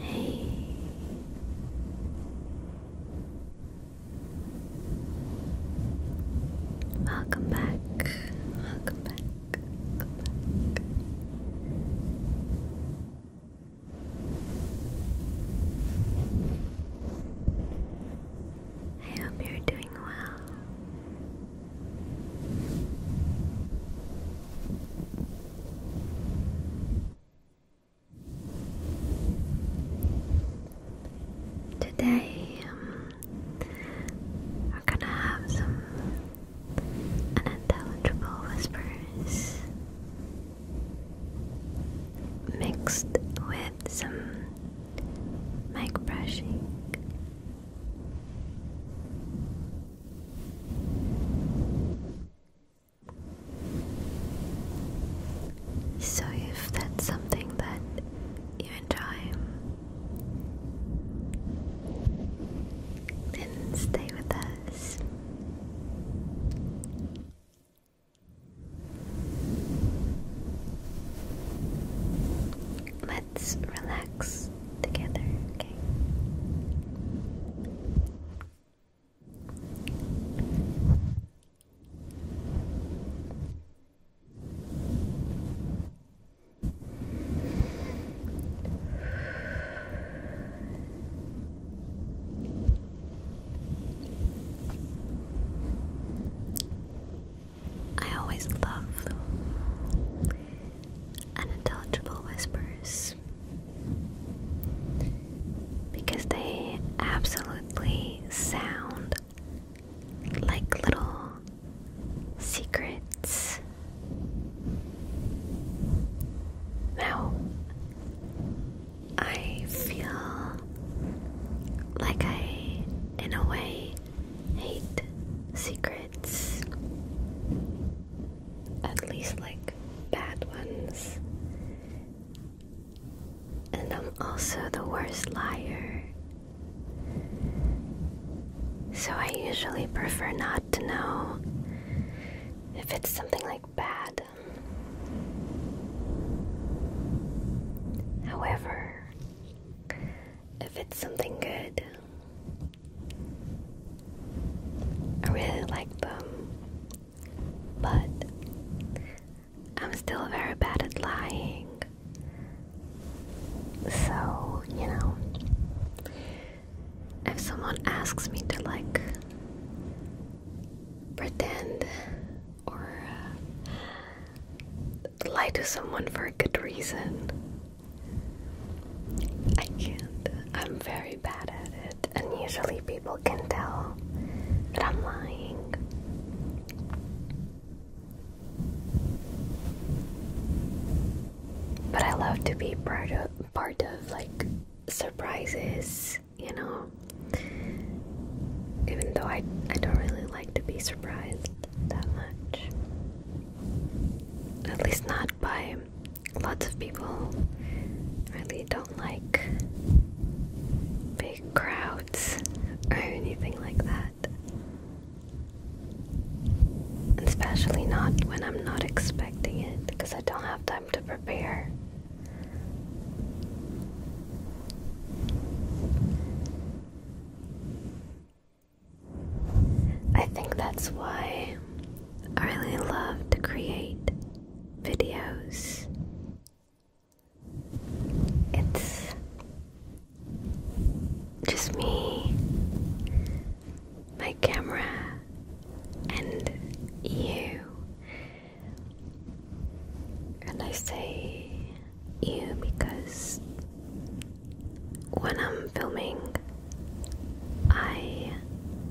Hey. Welcome back. Welcome back. I hope you're doing well. Today, um, we're gonna have some unintelligible whispers mixed with some mic brushing. So, if that's something that you enjoy, then stay with us. Let's relax together, okay? I always love unintelligible whispers because they absolutely sound like little secrets now, I feel like I, in a way, hate secrets. At least, like, bad ones. And I'm also the worst liar. So I usually prefer not to know if it's something like bad. However, if it's something good, I really like them, but I'm still very bad at lying. So, you know, if someone asks me to like pretend or uh, lie to someone for a good reason. I can't. I'm very bad at it, and usually people can tell that I'm lying. But I love to be part of part of like surprises, you know. Even though I, I don't really like to be surprised that much. At least not by lots of people. Really don't like big crowds or anything like that. Especially not when I'm not expecting it because I don't have time to prepare. I think that's why I really love to create videos. It's just me my camera and you. And I say you because when I'm filming, I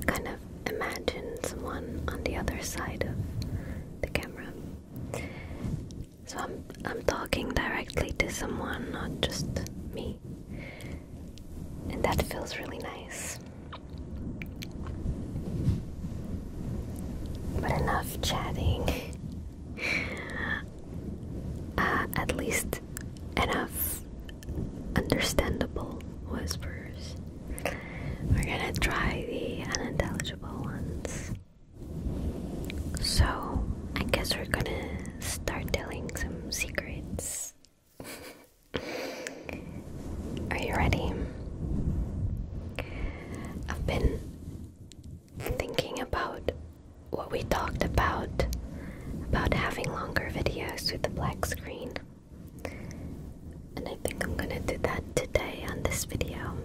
kind of imagine someone on the other side of the camera. So I'm I'm talking directly to someone, not just me and that feels really nice. But enough chatting. Uh, at least enough understandable whispers. We're gonna try the unintelligible ones. So, I guess we're gonna start telling some secrets are you ready? I've been thinking about what we talked about about having longer videos with a black screen. And I think I'm gonna do that today on this video.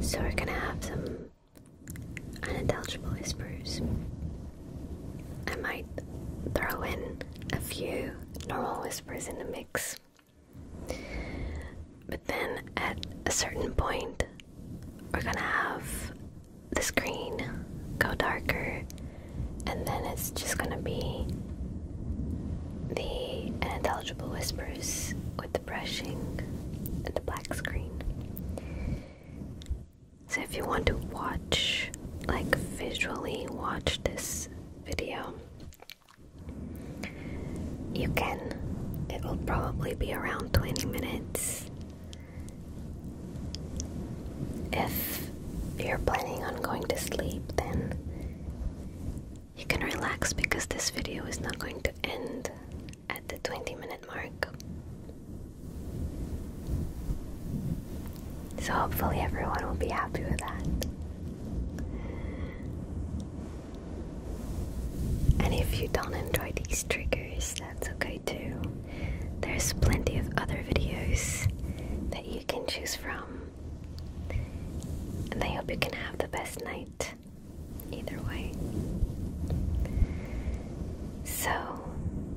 So we're gonna have some unintelligible whispers. I might throw in a few normal whispers in the mix. But then at a certain point, we're gonna have the screen go darker, and then it's just gonna be the unintelligible whispers with the brushing and the black screen. So if you want to watch, like visually watch this video, you can. It will probably be around 20 minutes. If you're planning on going to sleep, then you can relax because this video is not going to end at the 20 minute mark. So hopefully everyone will be happy with that. And if you don't enjoy these triggers, that's okay too. There's plenty of other videos that you can choose from. And I hope you can have the best night either way. So,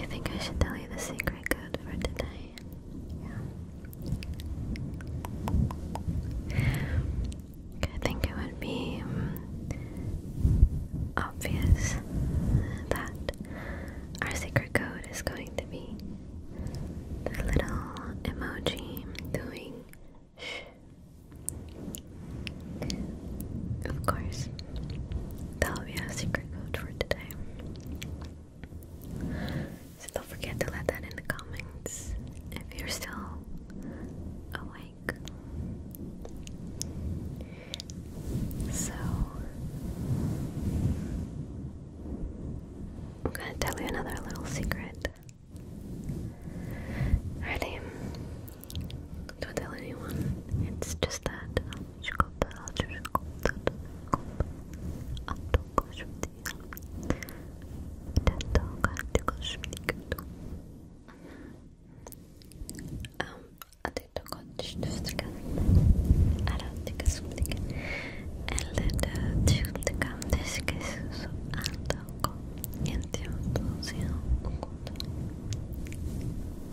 I think I should tell you the secret code for today. Yeah. I think it would be mm, obvious that our secret code is going to be the little emoji doing shh. Of course, that'll be our secret code for today. don't forget to let that in the comments if you're still awake. So, I'm gonna tell you another little secret. Ready? Don't tell anyone. It's just that. Um, أعطيتك تشوفتك أردتك سمتك ألد تشوفتك عم تشكس أعطاك أنت وتوزيع وقود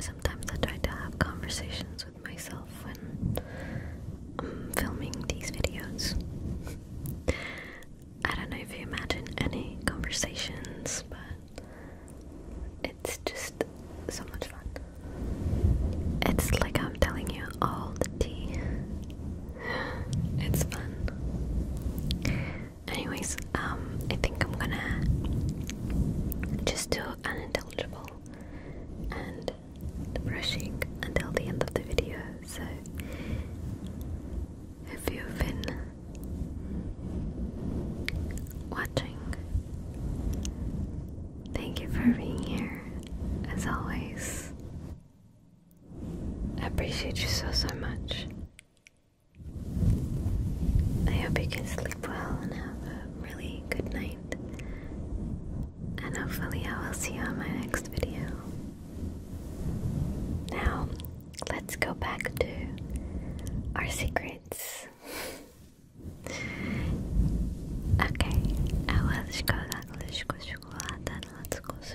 Sometimes I try to have conversations with myself when I'm filming these videos. I don't know if you imagine any conversations, but it's just so much fun. It's like I'm telling you all the tea. It's fun. Anyways, um, I think I'm gonna just do unintelligible and the brushing until the end of the video. So, if you've been watching, thank you for being here as always. I appreciate you so, so much. I hope you can sleep well and have a really good night. And hopefully, I will see you on my next video. Now, let's go back to our secrets. okay, I was chocolate, chocolate, chocolate, let's go.